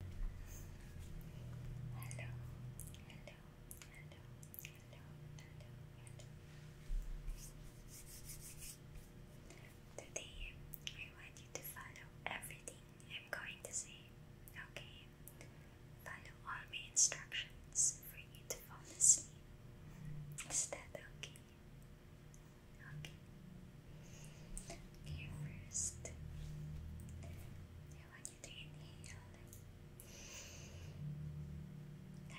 hello, hello, hello, hello, hello. Today, I want you to follow everything I'm going to say, okay? Follow all my instructions for you to fall asleep. Is that okay? Okay. Okay, first I want you to inhale,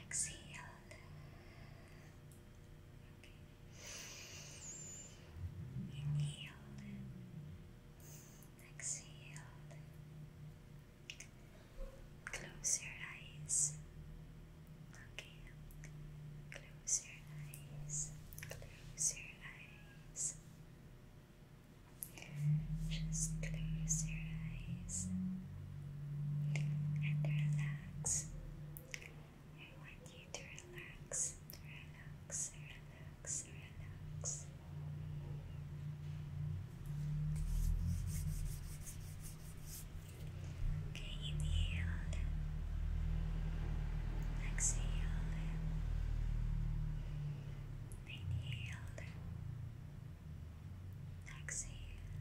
exhale. Okay, inhale, exhale. Close your eyes. Okay. Close your eyes. Close your eyes. Just close your eyes and relax. I want you to relax, relax, relax, relax. inhale, exhale, Inhale. Exhale.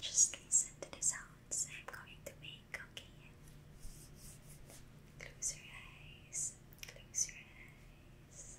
Just listen to the sounds I'm going to make, okay? Close your eyes. Close your eyes.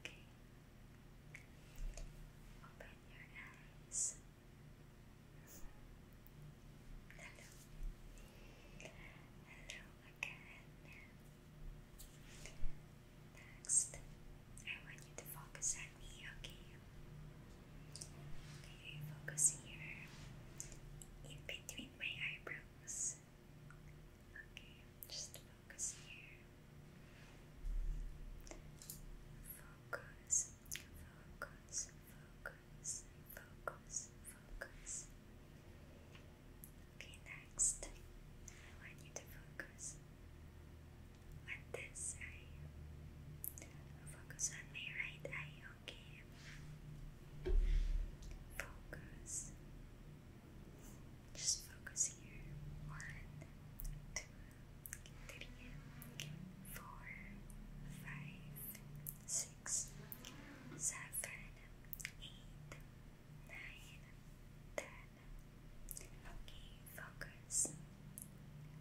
Okay. Open your eyes. Hello. Hello again. Next, I want you to focus on me, okay? Okay, focus here in between my eyebrows. Okay, just focus here. Focus, focus, focus, focus, focus. Okay, next, I want you to focus on this eye. Focus on my right eye, okay? Focus, just focus here. One, two, three, four, five, six, seven, eight, nine, ten. Okay, focus.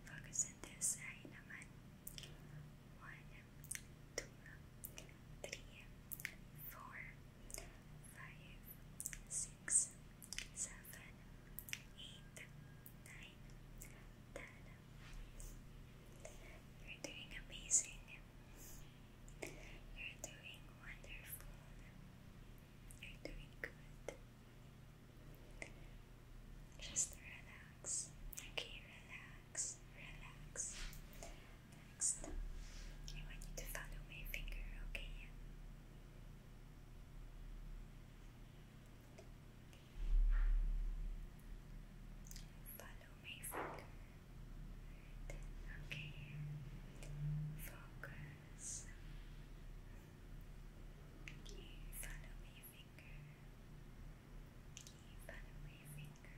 Focus on this eye One, two, three, four, five, six, seven, eight, nine, ten. You're doing amazing. You're doing wonderful. You're doing good. Just relax. Okay, relax, relax. Next, I want you to follow my finger, okay? Follow my finger. okay. Focus. Okay, follow my finger. Okay, follow my finger.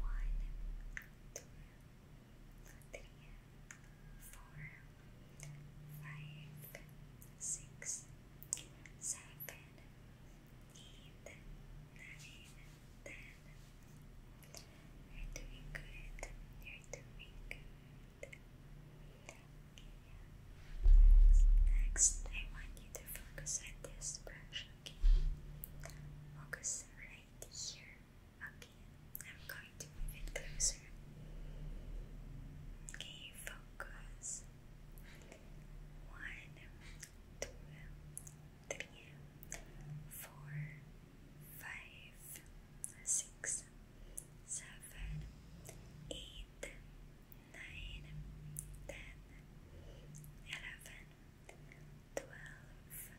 one, two, three, four, five, six, seven, eight, nine, ten. You're doing good. You're doing good. Okay. Next, I want you to focus on this brush. Okay. Focus right here. Okay, I'm going to move it closer. Okay, focus. One, two, three, four, five, six, seven, eight, nine, ten, eleven, twelve.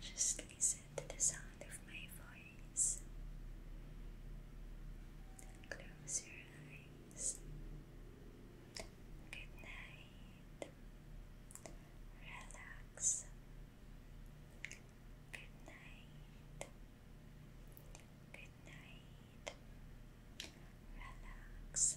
Just listen to the sound of my voice. Close your eyes. Good night. Relax. Good night. Good night. Relax.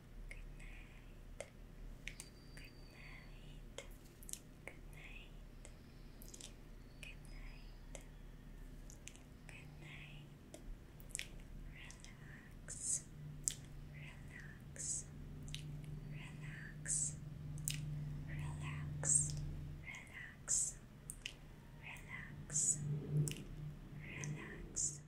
Good night. Good night. Good night. Good night. Good night. Relax. Relax. Relax. Relax. Relax. Relax. Relax.